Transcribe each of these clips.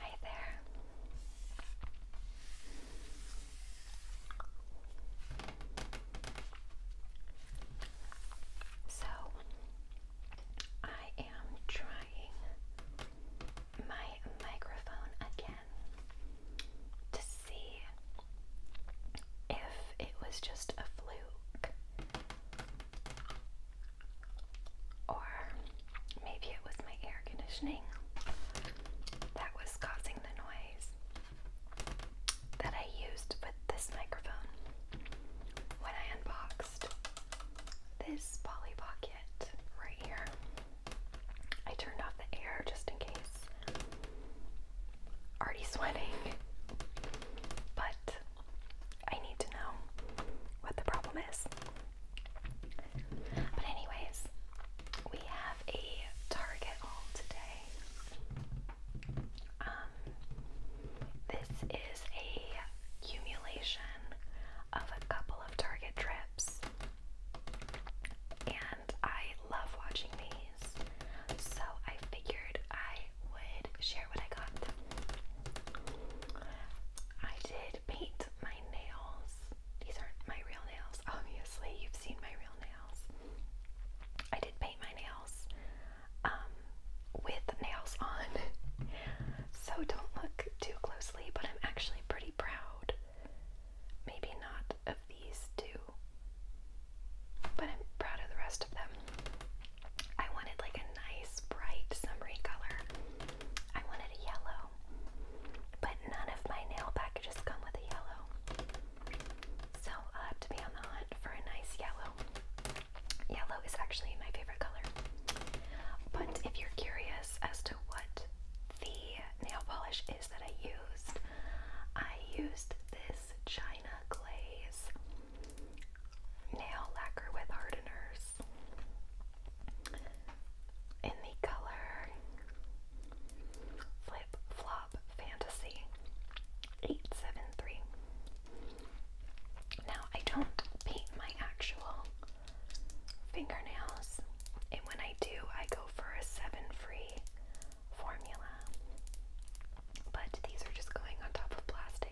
Hi there. So, I am trying my microphone again to see if it was just a fluke or maybe it was my air conditioning that was causing the noise that I used with this microphone when I unboxed this Polly Pocket right here. I turned off the air just in case. Already sweating, but I need to know what the problem is. But, anyways, we have a Target haul today. Um, this is a accumulation of a couple of Target trips, and I love watching these, so I figured I would share what I got. I did paint my nails. These aren't my real nails, obviously. You've seen my real nails. I did paint my nails um, with nails on. so don't look too closely, but I'm actually pretty proud. Maybe not of these two, but I'm proud of the rest of them. I wanted like a nice bright summery color. I wanted a yellow, but none of my nail packages come with a yellow. So I'll have to be on the hunt for a nice yellow. Yellow is actually my favorite color. But if you're curious as to what the nail polish is that I used, I used this China glaze nail lacquer with hardeners in the color Flip Flop Fantasy 873. Now, I don't paint my actual fingernails, and when I do, I go for a seven free formula. But these are just going on top of plastic.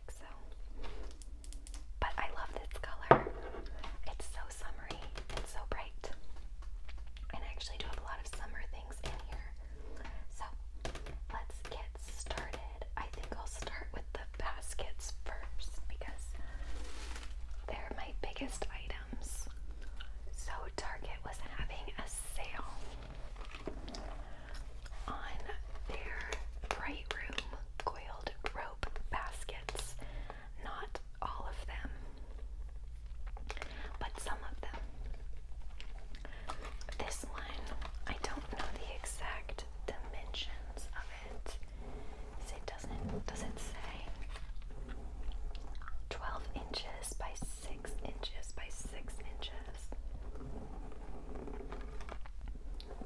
But I love this color. It's so summery and so bright. And I actually do a lot of summer things in here. So let's get started. I think I'll start with the baskets first because they're my biggest items. So Target was having a sale on their Bright Room coiled rope baskets. Not all of them, but some of them. This one, I don't know the exact dimensions of it. does it say 12 inches by 6 inches by 6 inches?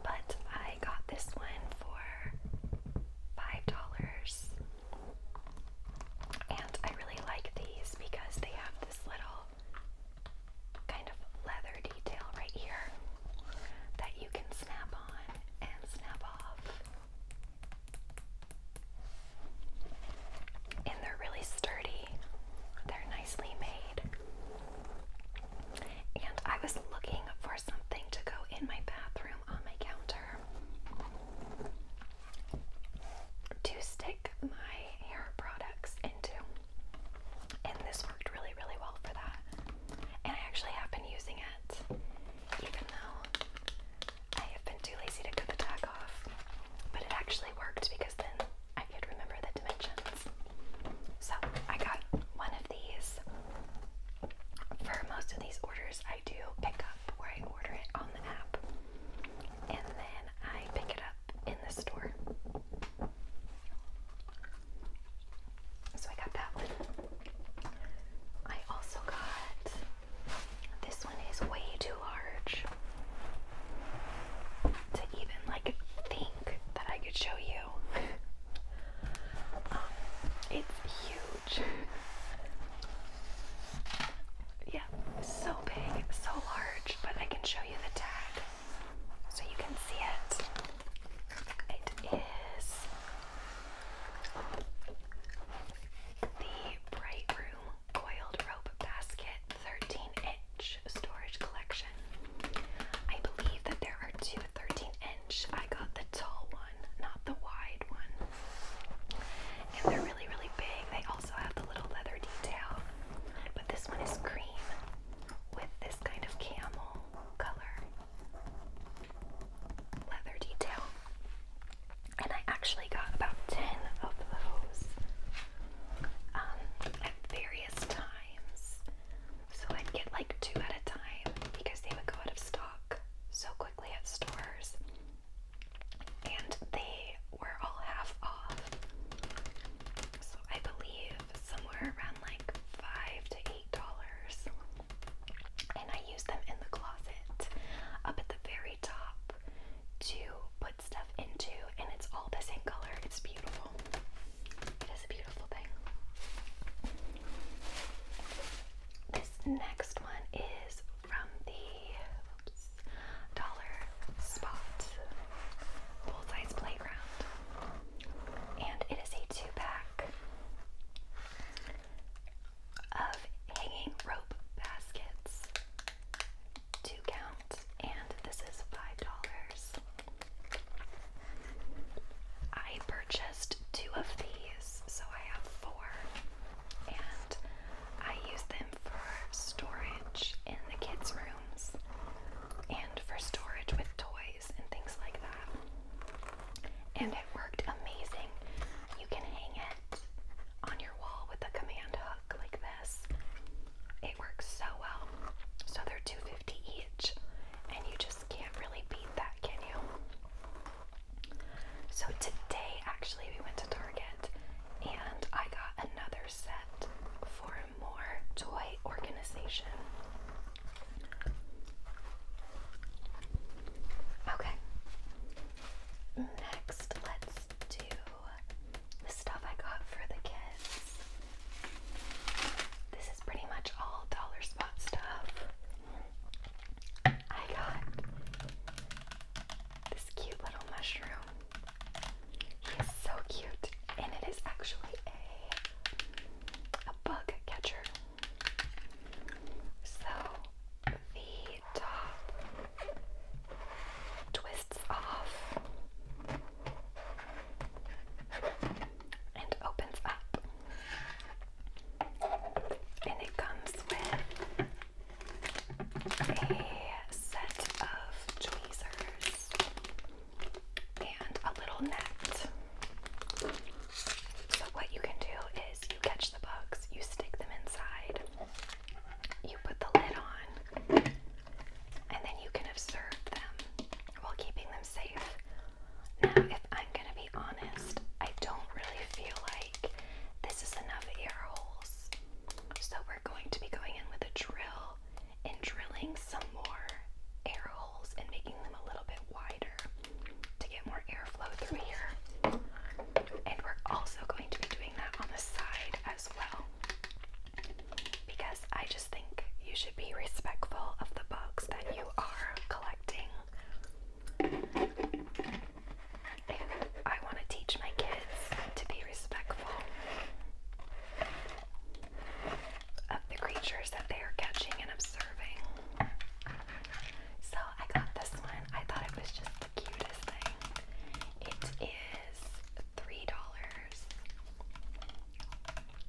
But I got this one for $5. And I really like these because they have this little kind of leather detail right here that you can snap on and snap off. And they're really sturdy, they're nicely made. And I was looking for something to go in my bathroom on my counter to stick my hair products into. And this worked really, really well for that. And I actually have been using it, even though I have been too lazy to cut the tag off. But it actually worked because then I could remember the dimensions. So I got one of these. For most of these orders, I do pick up where I order it on the app, and then I pick it up in the store. So I got that one. I also got this one is way too large to even like think that I could show you. Um, it's huge. yeah, so big, so large, but I can show you the tag so you can see it. It is the Bright Room Coiled Rope Basket 13 storage collection. I believe that there are two 13 inch. I got the tall one, not the wide one. And they're really, really big. They also have the little leather detail. But this one is cream with this kind of camel color leather detail. And I actually got about 10 of those um, at various times. So I'd get like two at a time because they would go out of stock so quickly at stores. And they were all half off. So I believe somewhere around like five to eight dollars. And I use them in the closet up at the very top to put stuff into, and it's all the same color. It's beautiful. It is a beautiful thing. This next one is from the Dollar Spot Bullseye's Playground. And it is a two pack of hanging rope baskets. Two count, and this is five dollars. I purchased two of these, so I have four, and I use them for storage in the kids' rooms and for storage with toys and things like that. And it worked amazing. You can hang it on your wall with a command hook like this, it works so well. So they're each, and you just can't really beat that, can you? So today, actually, we went to Target and I got another set for more toy organization. Okay. Next, let's do the stuff I got for the kids. This is pretty much all dollar spot stuff. I got this cute little mushroom. He is so cute, and it is actually a a bug catcher. So the top twists off and opens up. And it comes with a set of tweezers and a little net. So, what you can do is you catch the bugs, you stick them inside, you put the lid on, and then you can observe them while keeping them safe. Now, if I'm gonna be honest, I don't really feel like this is enough air holes. So we're going to be going in with a drill and drilling some more air holes and making them a little bit wider to get more airflow through here. And we're also going to be doing that on the side as well because I just think you should be respectful of the books that you are collecting. And I want to teach my kids to be respectful of the creatures that they are catching and observing. So I got this one. I thought it was just the cutest thing. It is $3.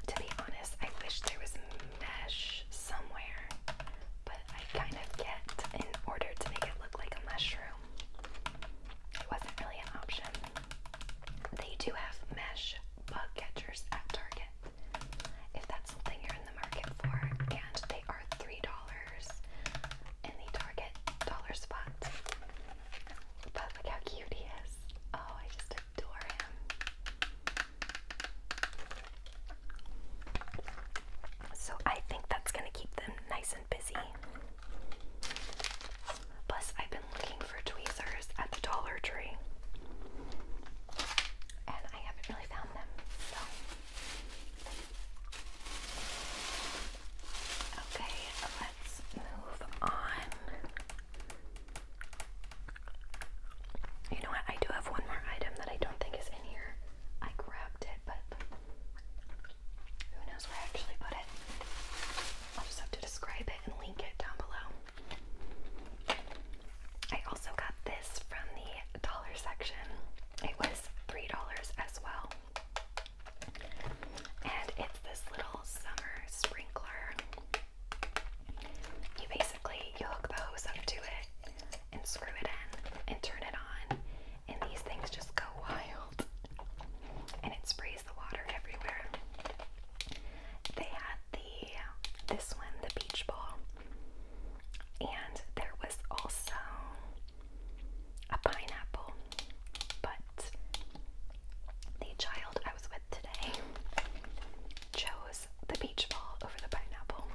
To be honest, I wish there was mesh somewhere, but I kind of get in order to make it look like a mushroom. It wasn't really an option. They do have mesh bug catchers at Target if that's something you're in the market for, and they are $3 in the Target dollar spot. But look how cute he is. Oh, I just so I think that's going to keep them nice and busy. Plus, I've been looking for tweezers at the Dollar Tree. And I haven't really found them, so. Okay, let's move on you know what? I do have one more item that I don't think is in here. I grabbed it, but who knows where I actually put it. i just have to describe it and link it down below. I also got this from the dollar section. It was $3 as well. And it's this little summer sprinkler. You basically you hook the hose up to it and screw it in and turn it on and these things just go wild. And it sprays the water everywhere. They had the this one, the beach ball. And there was also a pineapple. But the child I was with today chose the beach ball over the pineapple.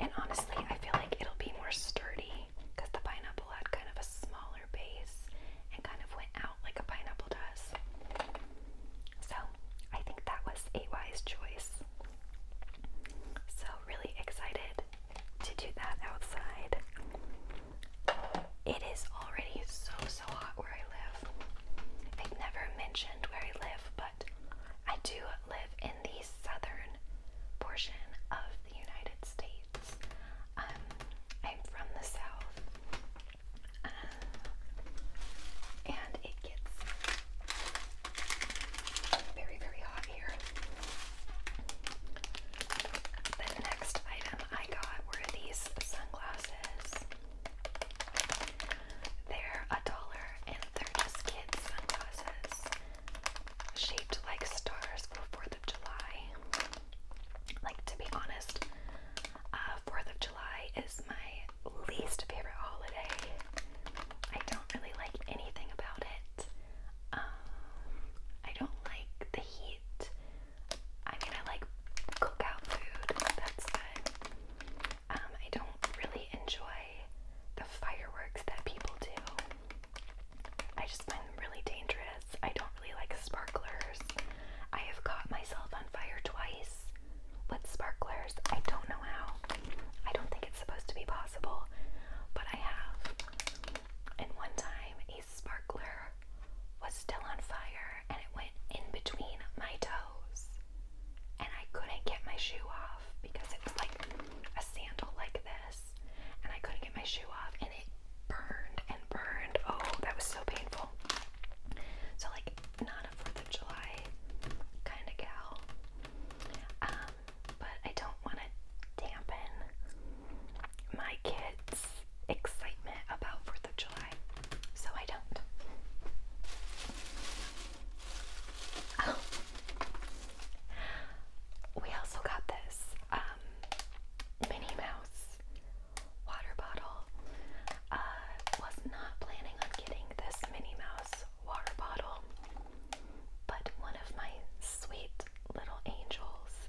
And honestly, I feel like it'll be more sturdy because the pineapple had kind of a smaller base and kind of went out like a pineapple does. So I think that was a wise choice. So, really excited to do that outside. It is already so, so hot where I live live. I've never mentioned where I live, but I do live in the southern portion of the United States. Um, I'm from the south, um, and it gets very, very hot here. The next item I got were these sunglasses. They're a dollar and they're just kids' sunglasses shaped like stars for 4th of July. Like, to be honest, 4th uh, of July is my least favorite holiday. I don't really like anything about it. Um, I don't like the heat. I mean, I like cookout food, that's good. Um, I don't really enjoy the fireworks that people do. I just find them really dangerous. I don't really like sparklers. I have caught myself on fire twice with sparklers. I don't know how. I don't think it's supposed to be possible, but I have. And one time, a sparkler was still on fire and it went in between my toes. And I couldn't get my shoe off because it was like a sandal like this. And I couldn't get my shoe off and it burned and burned. Oh, that was so painful. So, like, not a 4th of July kind of gal. Um, but I don't want to dampen my kids' excitement about 4th of July so I don't. Oh. We also got this um, Minnie Mouse water bottle. Uh, was not planning on getting this Minnie Mouse water bottle, but one of my sweet little angels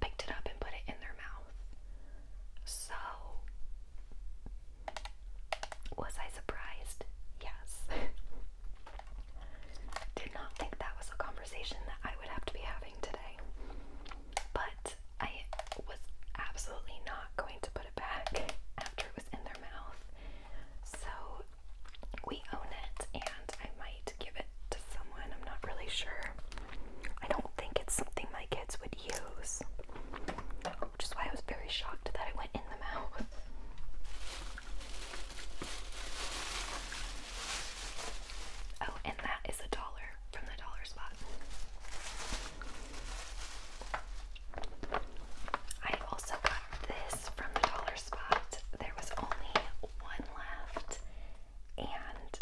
picked it up and put it in their mouth. So, was I surprised? Yes. Did not think that was a conversation that I would have to be having today. But I was absolutely not going to put it back after it was in their mouth. So, we own it, and I might give it to someone. I'm not really sure. I don't think it's something my kids would use, which is why I was very shocked that it went in the mouth. Oh, and that is a dollar from the dollar spot. I also got this from the dollar spot. There was only one left, and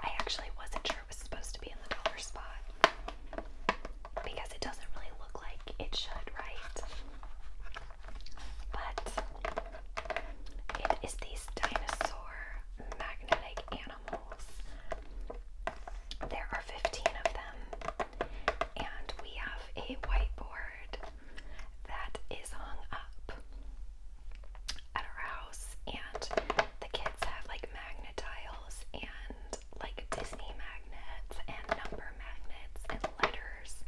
I actually wasn't sure it was supposed to be in the dollar spot because it doesn't really look like it should, right? But it is these dinosaur magnetic animals. There are 15 of them, and we have a whiteboard that is hung up at our house, and the kids have like magnet tiles and like Disney magnets and number magnets and letters,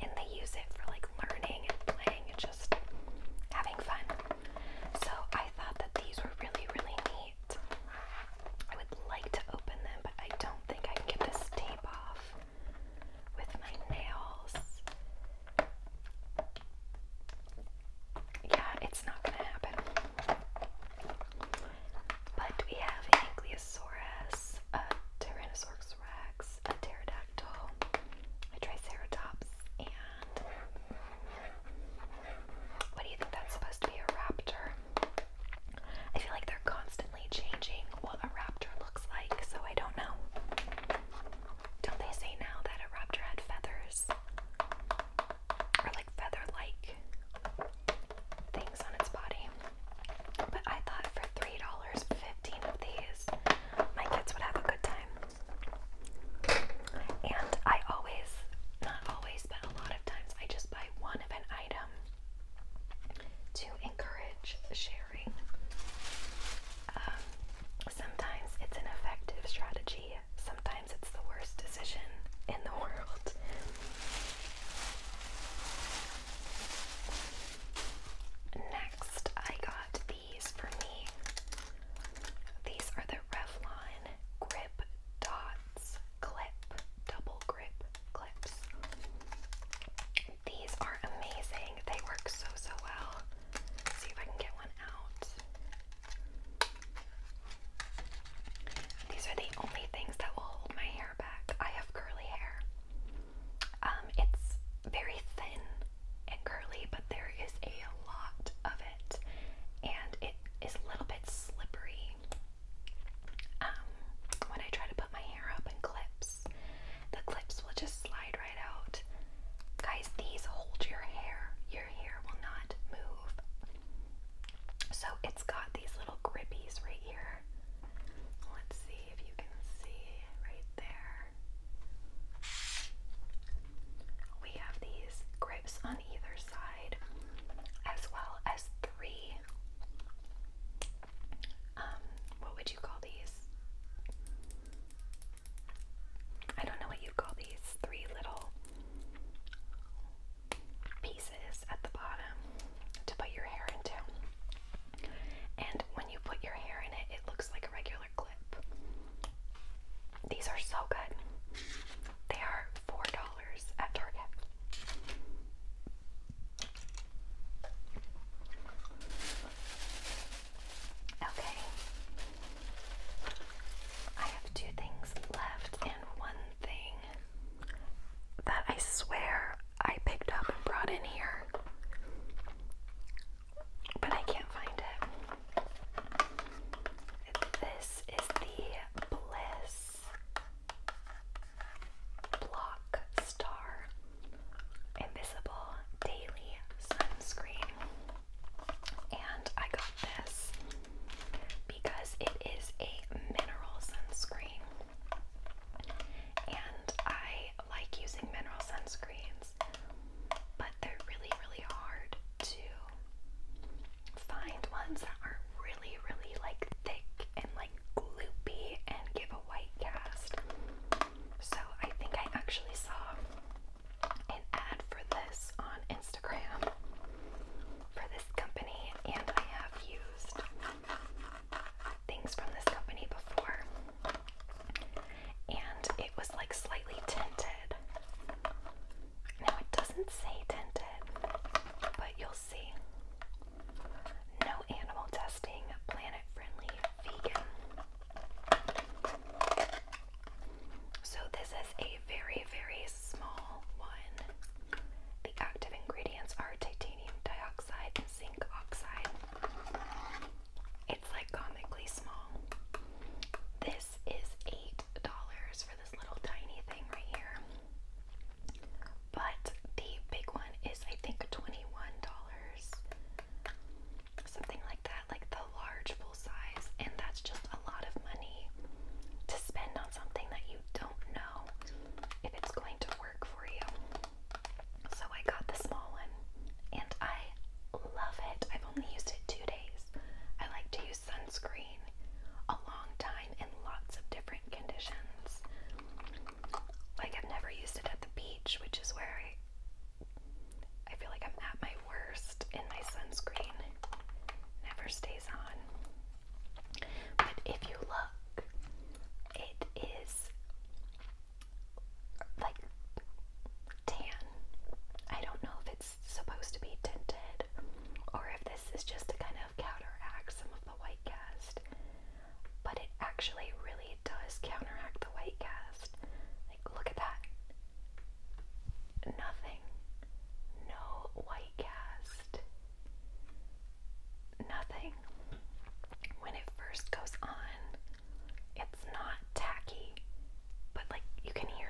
and they use it for like learning and playing and just having fun. So I thought that these were really, really neat. I would like to open them, but I don't think I can get this tape off with my nails yeah, it's not gonna happen. But we have an Ankylosaurus, a Tyrannosaurus rex, a pterodactyl, a triceratops, and what do you think that's supposed to be? A raptor. I feel like they're constantly changing what a raptor looks like, so I don't know. Don't they say now that a raptor had feathers? or like feather like things on its body. But I thought for $3, 15 of these, my kids would have a good time. And I always, not always, but a lot of times, I just buy one of an item to encourage sharing. Um, sometimes it's an effective strategy sometimes it's the worst decision in the world. Next, I got these for me. These are the Revlon Grip Dots Clip, Double Grip Clips. These are amazing. They work so, so well. see if I can get one out. These are the only things that will hold my hair back. I have curly hair. Um, it's very thin and curly, but there is a lot of it, and it is a little bit slippery. Um, when I try to put my hair up in clips, the clips will just slide right out. Guys, these hold your hair your will not move. So it's got these little grippies right here. Let's see if you can see right there. We have these grips on either side, as well as three. Um, what would you call these? I don't know what you call these three little pieces at the bottom to put your hair into. And when you put your hair in it, it looks like a regular clip. These are so good. They are $4 at Target. Okay, I have two things left and one thing that I swear I picked up and brought in here. But I can't find it. This is the Bliss Block Star Invisible Daily Sunscreen. And I got this because it is a mineral sunscreen. And I like using mineral sunscreens, but they're really, really hard to find ones that aren't really, really like thick and like gloopy and give a white cast. So I think I actually saw an ad for this on Instagram for this company, and I have used things from this company before, and it was like slightly tinted. Now it doesn't say tinted, but you'll see. No animal testing, planet friendly, vegan. So, this is a very, very small one. The active ingredients are titanium dioxide and zinc oxide. It's like comically small. This is $8 for this little tiny thing right here. But the big one is, I think, $21. Something like that. Like the a large full size, and that's just a lot of money to spend on something that you don't know if it's going to work for you. So I got the small one, and I love it. I've only used it two days. I like to use sunscreen a long time in lots of different conditions. Like, I've never used it at the beach, which is where I. I feel like I'm at my worst in my sunscreen never stays on. But if you look, it is like tan. I don't know if it's supposed to be tinted or if this is just to kind of counteract some of the white cast, but it actually really does counteract the white cast. Like, look at that nothing. No white cast. Nothing. When it first goes on, it's not tacky, but like you can hear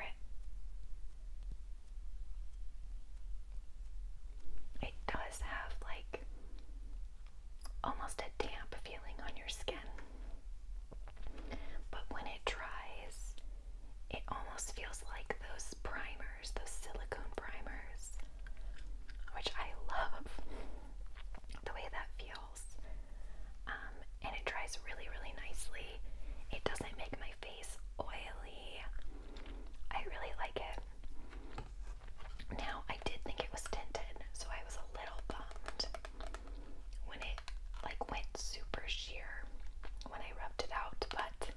it. It does have like almost a damp feeling on your skin. But when it dries, it almost feels like those primers, those silicone primers, which I love the way that feels. Um, and it dries really, really nicely. It doesn't make my face oily. I really like it. Now, I did think it was tinted, so I was a little bummed when it like went super sheer when I rubbed it out, but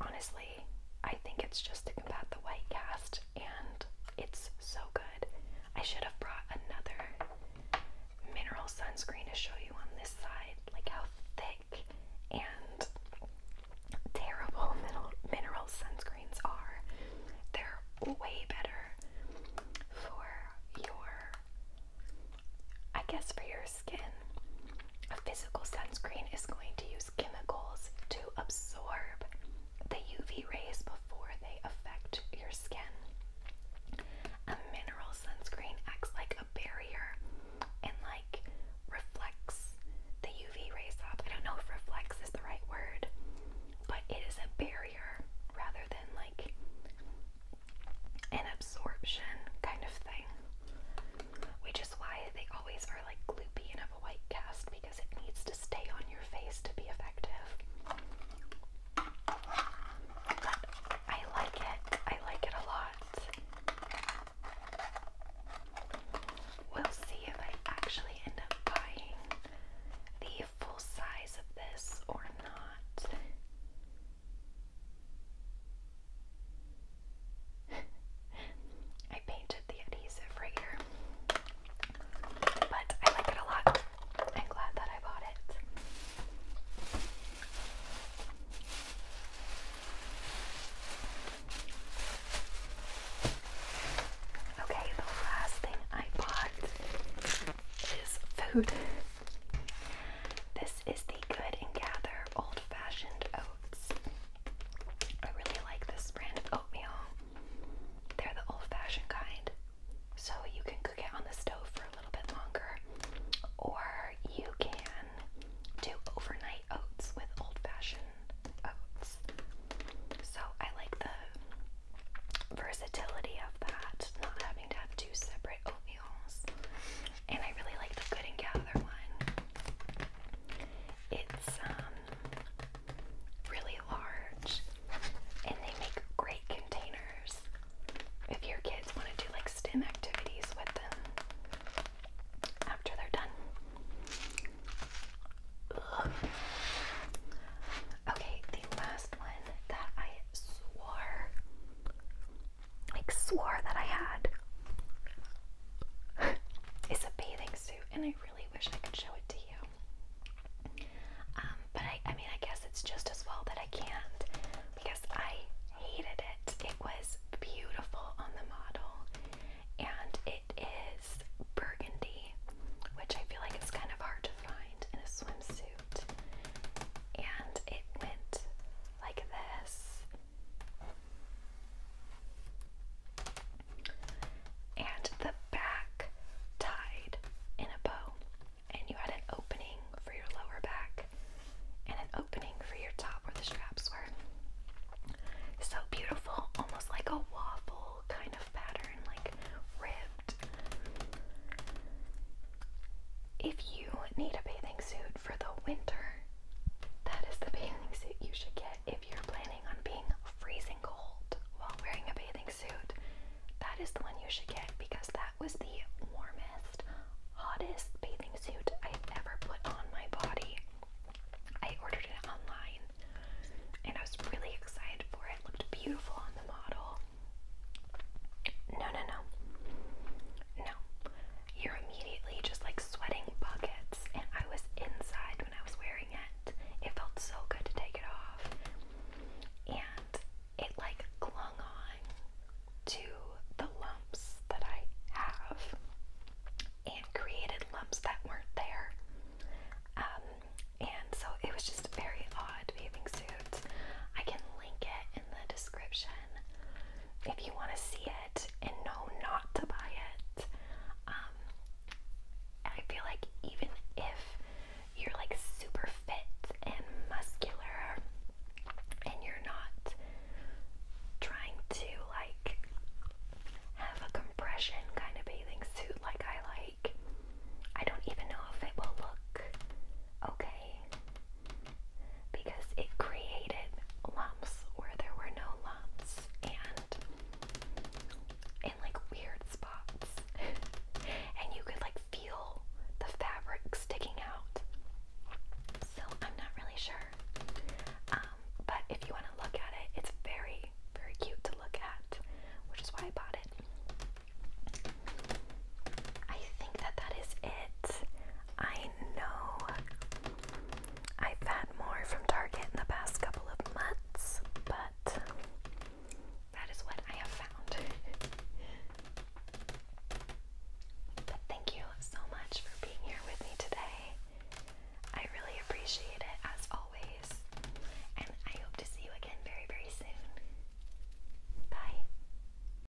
honestly, I think it's just to combat the white cast, and it's so good. I should have brought another mineral sunscreen to show you on this side, like how thick and terrible mineral sunscreens are. They're way better for your I guess for your skin, a physical sunscreen is going to use chemicals to absorb the UV rays before they affect your skin. A mineral sunscreen acts like a barrier and like reflects the UV rays off. I don't know if reflects is the right word, but it is a barrier rather than like and absorption kind of thing, which is why they always are like gloopy and have a white cast because it needs to stay on your face to be effective. But I like it, I like it a lot. We'll see if I actually end up buying the full size of this or not. I painted the adhesive right here, but I like it a lot. I'm glad that I bought it. Okay, the last thing I bought is food. This is the Good and Gather Old Fashioned Oats. I really like this brand of oatmeal. They're the old fashioned kind, so you can cook it on the stove for a little bit longer, or you can do overnight oats with old fashioned oats. So I like the versatility of that, not having to have two separate oatmeal and I really like the Good and Gather one. It's um really large and they make great containers if your kids want to do like STEM activities with them after they're done. Okay, the last one that I swore like swore that I had is a bathing suit, and I really wish I could show it to you. Um, but I, I mean, I guess it's just as well that I can't because I hated it. It was beautiful on the model, and it is burgundy, which I feel like it's kind of hard to find in a swimsuit. And it went like this. And the back tied in a bow. And you had an opening for your lower back and an opening for your top where the straps were. So beautiful, almost like a waffle kind of pattern, like ripped. If you need a bathing suit, for the winter. That is the bathing suit you should get if you're planning on being freezing cold while wearing a bathing suit. That is the one you should get because that was the warmest, hottest bathing suit I've ever put on my body. I ordered it online and I was really excited for It looked beautiful on the model. No, no, no. No. You're immediately just like sweating buckets, and I was inside when I was wearing it. It felt so good to take it off, and it like clung on to the lumps that I have and created lumps that weren't there. Um, and so it was just a very odd bathing suit. I can link it in the description if you want to see it and know not to buy it. Um, I feel like even if you're like super fit and muscular and you're not trying to like have a compression kind of bathing suit like I like, I don't even know if it will look okay because it created lumps where there were no lumps and in like weird spots. and you could like feel the fabric sticking out. So I'm not really sure. Um, but if you want to look at it, it's very, very cute to look at, which is why I bought it. I think that that is it. I know I've had more from Target in the past couple of months, but that is what I have found. but thank you so much for being here with me today. I really appreciate it as always, and I hope to see you again very, very soon. Bye.